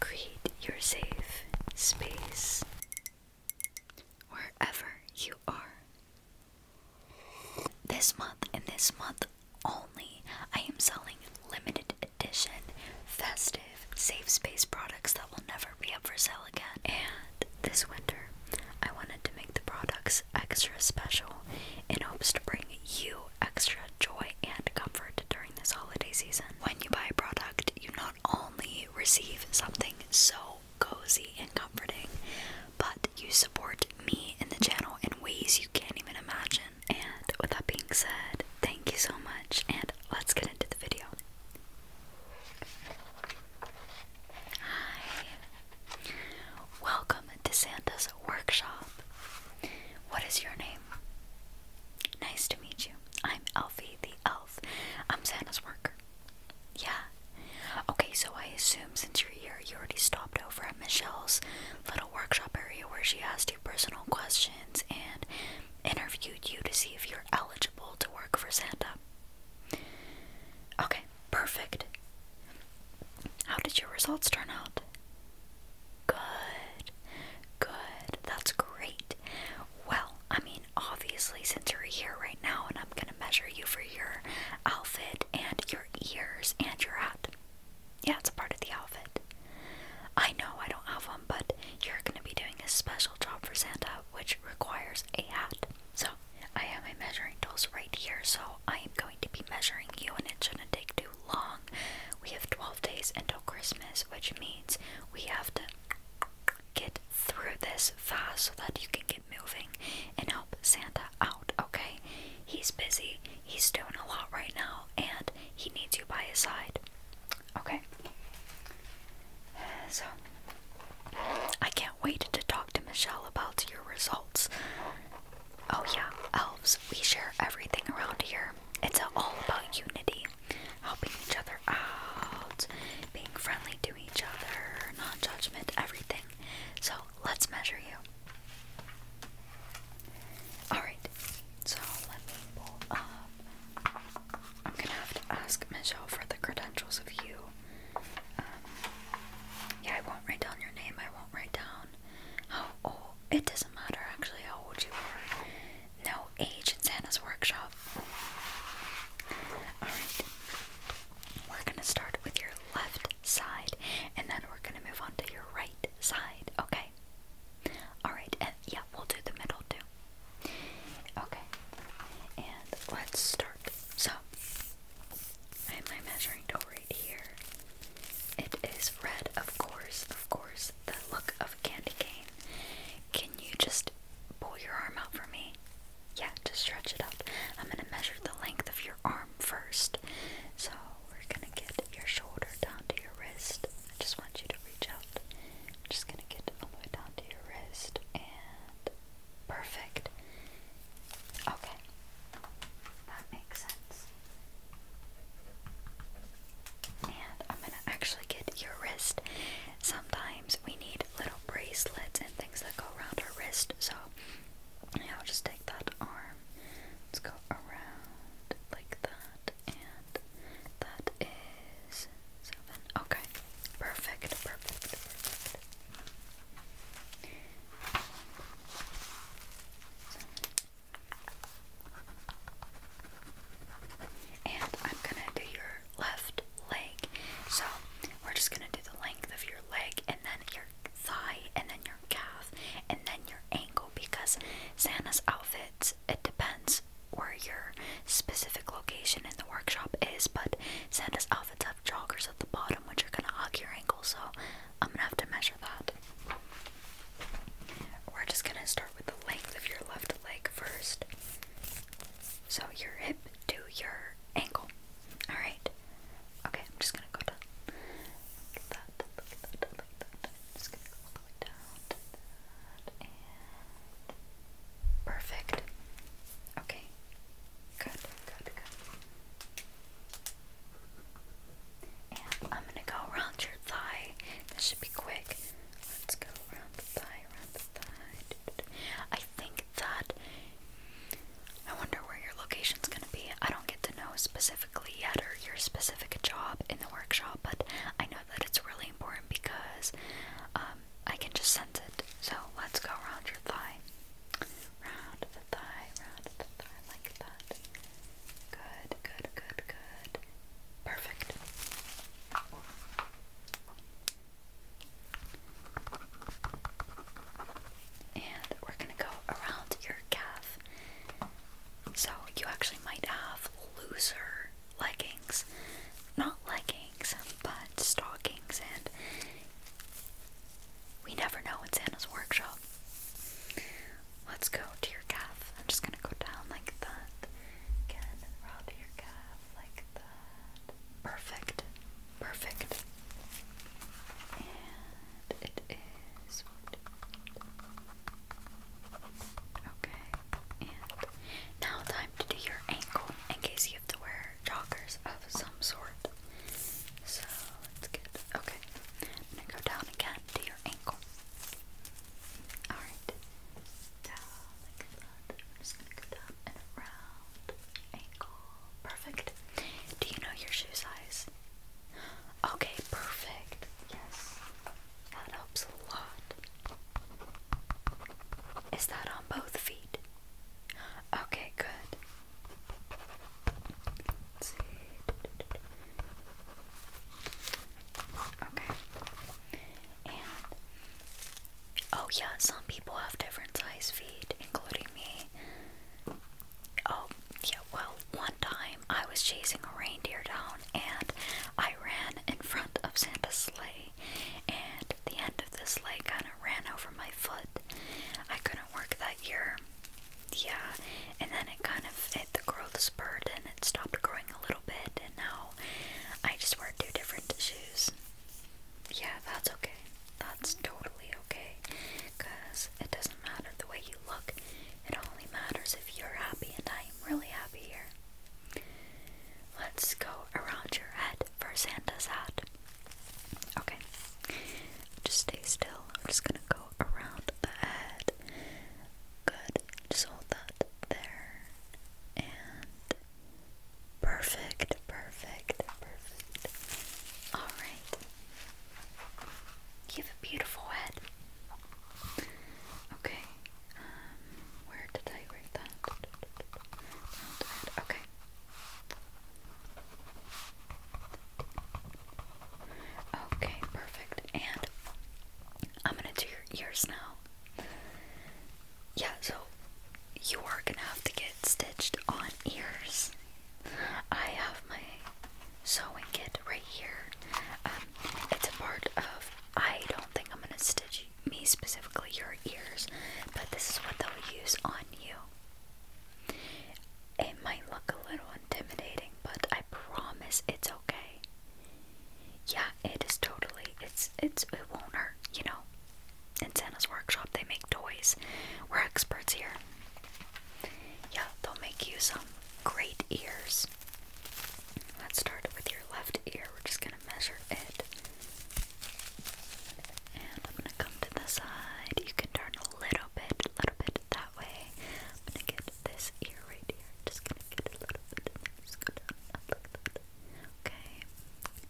Create your safe space wherever you are. This month and this month only, I am selling limited edition festive safe space products that will never be up for sale again. And this winter, I wanted to make the products extra special in hopes to bring you extra joy and comfort during this holiday season. When you buy a product, you not only receive something so cozy and comforting, but you support me and the channel in ways you can't even imagine. And with that being said, thank you so much, and let's get into the video. Hi, welcome to Santa's workshop. What is your name? Nice to meet you. I'm Elfie the Elf. I'm Santa's worker. Yeah. Okay, so I assume since you're here, you already stopped over at Michelle's little workshop area where she asked you personal questions and interviewed you to see if you're eligible to work for Santa. Okay, perfect. How did your results turn out? Good. Good. That's great. Well, I mean, obviously, since you're here right now, and I'm gonna measure you for your outfit and your ears and your hat. Yeah, it's a part of the outfit. I know I don't have one, but you're gonna be doing a special job for Santa, which requires a hat. So, I have my measuring tools right here, so I am going to be measuring you, and it shouldn't take too long. We have 12 days until Christmas, which means we have to get through this fast so that you can get moving and help Santa out, okay? He's busy, he's doing a lot right now, and he needs you by his side, okay? So, I can't wait to talk to Michelle about your results. Oh, yeah, elves, we share everything around here. It's all about unity helping each other out, being friendly to each other, non judgment, everything. So let's measure you. Alright, so let me pull up. I'm gonna have to ask Michelle for the credentials of you. Um, yeah, I won't write down your name, I won't write down how old. It doesn't matter actually how old you are. No age in Santa's workshop. Alright. We're gonna start with your left side and then we're gonna move on to your right side, okay? Alright, and yeah, we'll do the middle too. Okay. And let's start. So I have my measuring tool right here. It is red, of course, of course the look of a candy cane. Can you just pull your arm out for me? Yeah, just stretch it out. I'm gonna measure the length of your arm first. So we're gonna get your shoulder down to your wrist. I just want you to reach out. I'm just gonna get all the down to your wrist and perfect. Okay. That makes sense. And I'm gonna actually get your wrist. Sometimes we need little bracelets and things that go around our wrist, so I'll just take that arm. Let's go around like that, and that is seven. Okay, perfect, perfect, perfect. And I'm gonna do your left leg. So we're just gonna do the length of your leg and then your thigh and then your calf and then your ankle because Santa's outfits, it depends where your specific location in the workshop is, but Santa's outfits have joggers at the bottom which are gonna hug your ankle, so I'm gonna have to measure that. We're just gonna start with the length of your left leg first. So your hip to your ankle. Alright. Okay, I'm just gonna go down. Look at that, look at that, look at that. just gonna go all the way down perfect. Okay. Good, good, good. I'm gonna go around your thigh. This should be quick. Let's go around the thigh, around the thigh. I think that. I wonder where your location is gonna be. I don't get to know specifically yet or your specific job in the workshop, but I know that it's really important because um, I can just sense it. So let's go around your thigh. Round the thigh, round the thigh, like that. Good, good, good, good. Perfect. And we're going to go around your calf. So you actually might have looser leggings. Not leggings, but stockings and we never know in Santa's workshop. Let's go to your calf. I'm just gonna go down like that. Again, around your calf like that. Perfect. Perfect. And it is Okay. And now time to do your ankle in case you have to wear joggers of some sort. So let's get okay. i go down again to your ankle. Alright. Down like that. just gonna and around. Ankle. Perfect. Do you know your shoe size? Okay, perfect. Yes. That helps a lot. Is that on both feet? Okay, good. Okay. And oh yeah, some people have different size feet, including me. Oh yeah, well, one time I was chasing a reindeer down and I ran in front of Santa's sleigh and the end of the sleigh kinda ran over my foot. I couldn't work that year yeah, and then it kind of it the growth spurt and it stopped growing a little bit, and now I just wear two different shoes. Yeah, that's okay. That's totally okay, cause it doesn't matter the way you look. It only matters if you're happy, and I am really happy here. Let's go around your head for Santa's hat. Okay, just stay still. I'm just gonna go around the head. Good. Just hold that there. And perfect, perfect, perfect. Alright. You have a beautiful head. Okay. Um, where did I write that? Okay. Okay, perfect. And I'm gonna do your ears now. Yeah, so you are gonna have to get stitched on ears. I have my sewing kit right here. Um, it's a part of. I don't think I'm gonna stitch me specifically your ears, but this is what they'll use on you. It might look a little intimidating, but I promise it's okay. Yeah, it is totally. It's it's it won't hurt, you know. In Santa's workshop, they make toys. We're experts here. Yeah, they'll make you some great ears. Let's start with your left ear. We're just gonna measure it. And I'm gonna come to the side. You can turn a little bit, a little bit, that way. I'm gonna get this ear right here. Just gonna get a little bit just go down and look at Okay.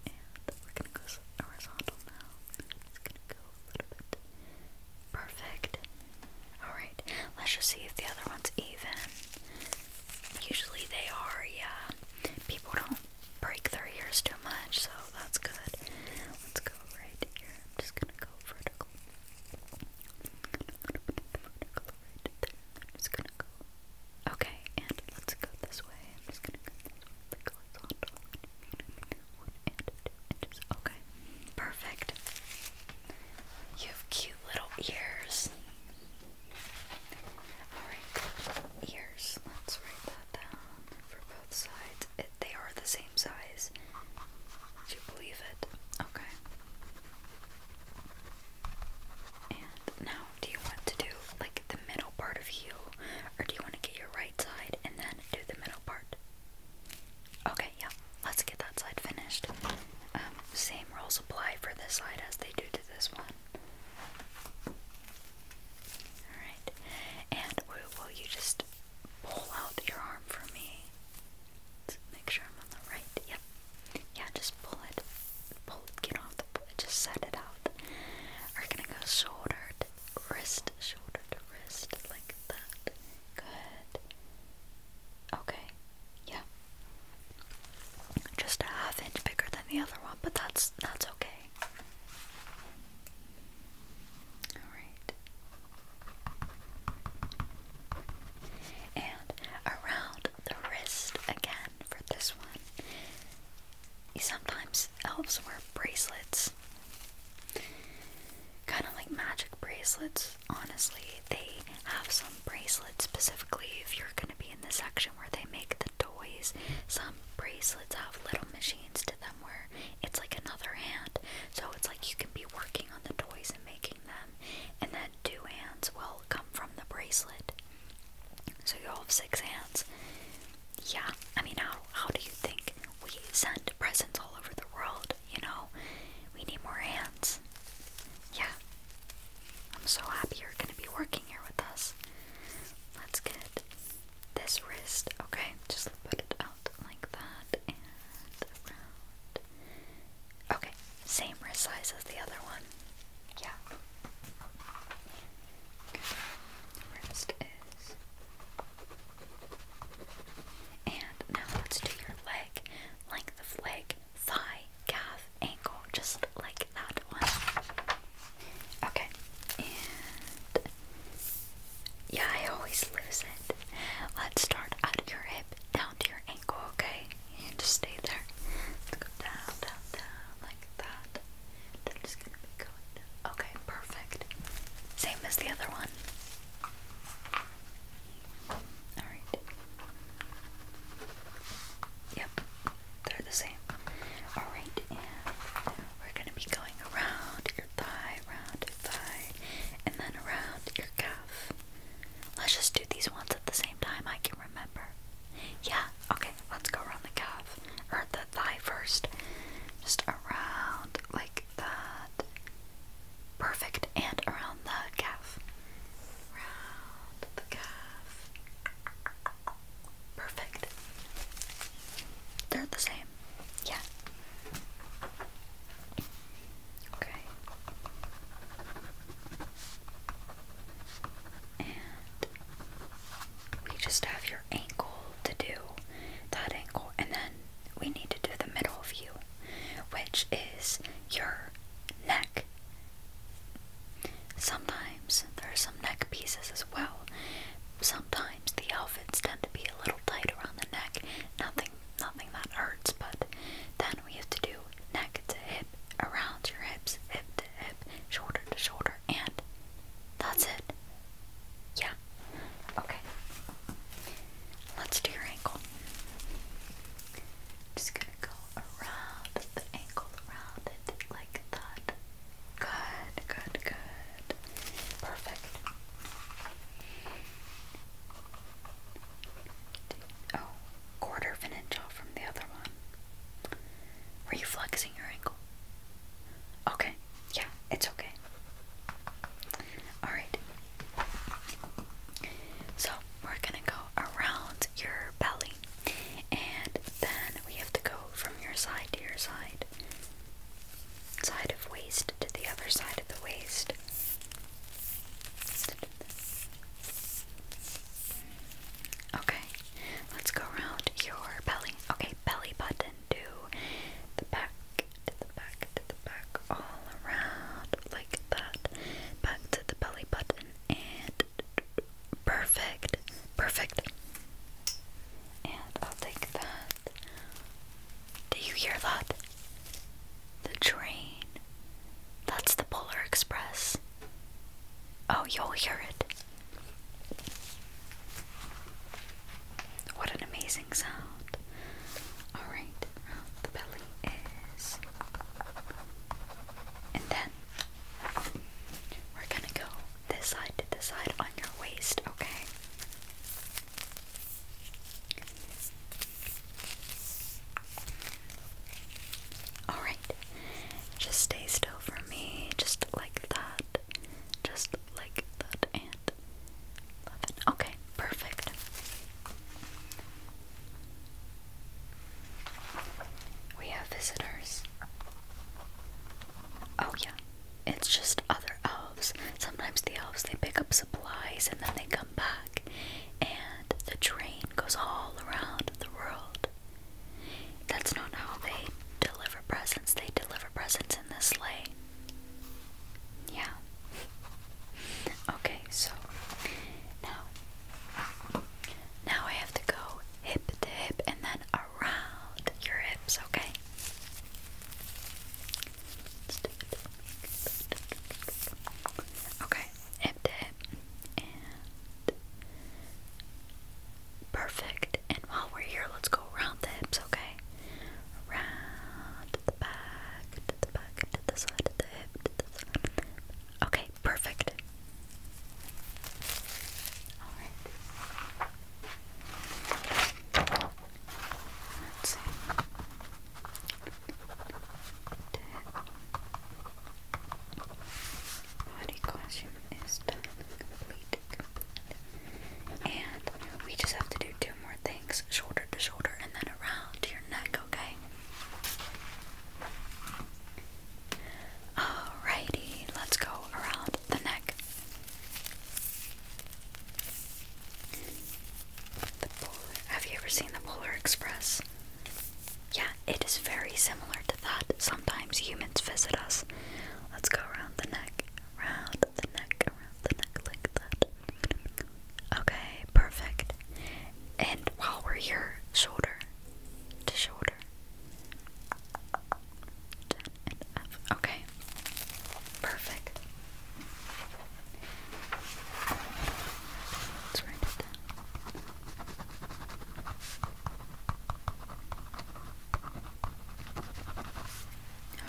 And we're gonna go horizontal now. Just gonna go a little bit. Perfect. Alright, let's just see if the other one's even. Usually they are, yeah. People don't break their ears too much, so that's good. Let's go right here. I'm just gonna go vertical. Okay, and let's go this way. Okay, perfect. You have cute little ears. Alright, ears. Let's write that down for both sides. they are the same same size. Do you believe it? Okay. And now, do you want to do like the middle part of you, or do you want to get your right side and then do the middle part? Okay, yeah, let's get that side finished. Um, same rules apply for this side as they do to this one. Alright, and will you just pull out your arm for me? let make sure I'm on the right. Yep. Yeah, just pull it. Pull Get off the. Just set it out. We're gonna go shoulder wrist, shoulder wrist, like that. Good. Okay. Yeah. Just a half inch bigger than the other one, but that's that's okay. All right. And around the wrist again for this one. Sometimes elves wear bracelets. Kind of like magic bracelets, honestly. They have some bracelets specifically if you're going to be in the section where they make the toys. Some bracelets have little machines to them where it's like another hand. So it's like you can be working on the toys and making and then two hands will come from the bracelet. So you'll have six hands. Yeah, I mean, how, how do you think we send presents all over the world? You know, we need more hands. Yeah. I'm so happy you're gonna be working here with us. Let's get this wrist, okay? Just put it like that and Okay, same wrist size as the other one. Yeah. Wrist is. And now let's do your leg, length of leg, thigh, calf, ankle, just like that one. Okay, and yeah, I always lose it. Let's start at your hip down to your ankle, okay? And just stay there. go down, down, down, like that. Then just gonna be going down. Okay, perfect. Same as the other one. Alright. Yep, they're the same. Alright, we're gonna be going around your thigh, around and then around your calf. Let's just do these ones at the same time. I can remember. Yeah, okay, let's go around the calf or the thigh first. Just around like that. Perfect, and around the calf. Around the calf. Perfect. They're the same. Yeah. Okay. And we just have your ankle to do that ankle, and then we need to do the middle of you, which is your neck. Sometimes there are some neck pieces as well. Sometimes the outfits tend to be a little tight around the neck. Nothing nothing that hurts, but then we have to do neck to hip, around your hips, hip to hip, shoulder to shoulder, and that's it. Yeah. Okay. Let's do your ankle. Just gonna go around the ankle, around it like that. Good, good, good. Perfect. Oh, quarter of an inch off from the other one. Were you flexing your ankle? Okay, yeah, it's okay. Alright. So, we're gonna go around your belly, and then we have to go from your side to your side side of waist to the other side of the waist. Okay, let's go around your belly. Okay, belly button to the back, to the back, to the back, all around like that. Back to the belly button and perfect, perfect. And I'll take that do you hear that? The train. That's the Polar Express. Oh, you'll hear it. What an amazing sound. Alright, the belly is. And then we're gonna go this side to this side on your waist, okay? Alright, just stay still for me, just like that, just like that, and love it. Okay, perfect. We have visitors. Oh, yeah, it's just other. Oh, Sometimes the elves they pick up supplies and then they come back, and the train goes all around the world. That's not how they deliver presents. They deliver presents in the sleigh. Yeah. Okay, so now now I have to go hip to hip and then around your hips, okay? Okay, empty it perfect. And while we're here, let's go around the hips, okay? Around the back, to the back, to the side of the hip, to the side. Okay, perfect. Let's see. The body costume is done, complete, complete. And we just have to do two more things, shoulder to shoulder and then around your neck, okay? Alrighty, let's go around the neck. Have you ever seen the Polar Express? Yeah, it is very similar to that. Sometimes humans visit us. Let's go around the neck, around the neck, around the neck like that. Okay, perfect. And while we're here, shoulder to shoulder. Okay, perfect let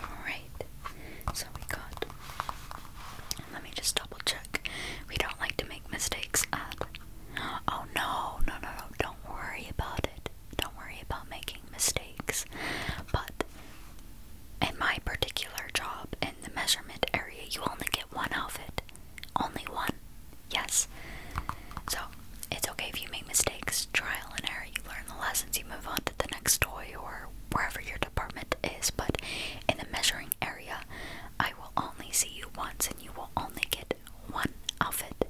Alright, so we got. Let me just double check. We don't like to make mistakes Oh no, no, no, no. Don't worry about it. Don't worry about making mistakes, but in my particular job in the measurement area, you only get one outfit. Only one. Yes. So it's okay if you make mistakes, trial and error, you learn the lessons, you move on to the next toy or wherever your department is, but in the measuring area, I will only see you once and you will only get one outfit.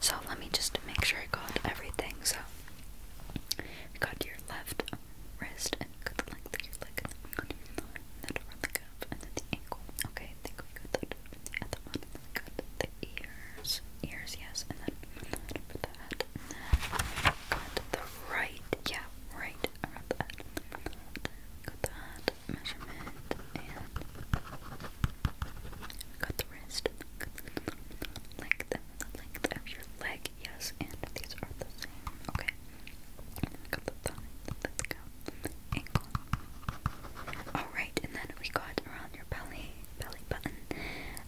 So let me just make sure I got everything. So got to your left wrist and cut the length of your leg and then around the cuff and then the ankle. Okay, I think we the other and then the ears. Ears, yes, and then that the head got the right, yeah, right around the Got the head measurement and got the wrist and the length of your leg yes, and these are the same. Okay. Got the thumb. Let's go. Ankle. Alright, and then we got around your belly, belly button.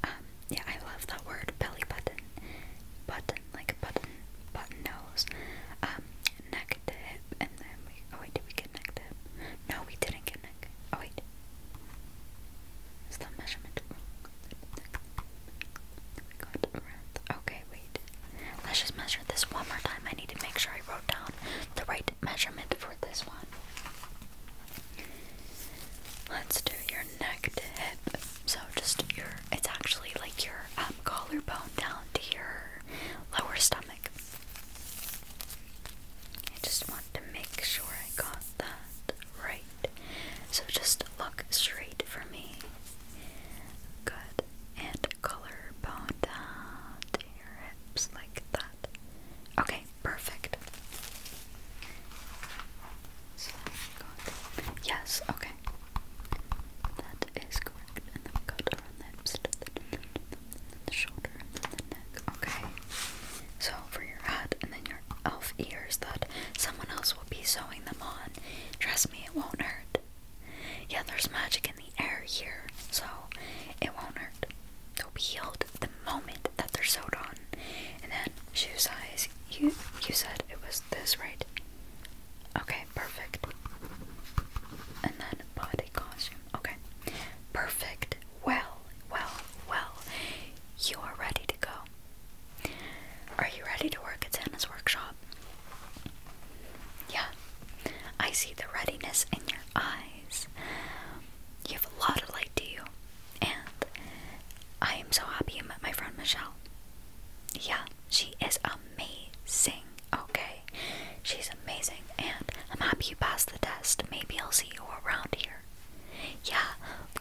Um, yeah, I love that word, belly button. Button, like button, button nose. Um, neck to and then we, oh wait, did we get neck to No, we didn't get neck. Oh wait. Okay, wait. Let's just measure this one more time. I need to make sure I wrote down the right measurement for this one. Let's do your neck to hip. So just your, it's actually like your um, collarbone down to your lower stomach. I just want to make sure I got that right. So just look straight for me. Good. And color bone down your hips like that. Okay, perfect. yes, okay. That is correct. And then we got the hips to the, shoulder then the neck. Okay. So for your head and then your pair of ears that someone else will be sewing them on. Trust me, it won't hurt. Yeah, there's magic in the air here, so it won't hurt. They'll be healed the moment that they're sewed on. And then shoe size. You you said it was this, right? Okay, perfect. And then body costume. Okay. Perfect. Well, well, well. You are ready to go. Are you ready to work at Santa's workshop? Yeah, I see the readiness in your eyes. You have a lot of light to you, and I am so happy you met my friend Michelle. Yeah, she is amazing, okay? She's amazing, and I'm happy you passed the test. Maybe I'll see you around here. Yeah,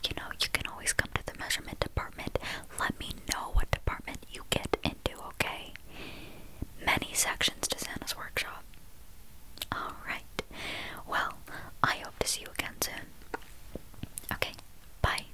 you know, you can always come to the measurement department. Let me know what department you get into, okay? Many sections to Santa's workshop. Alright, well, I hope to see you again soon. Okay, bye.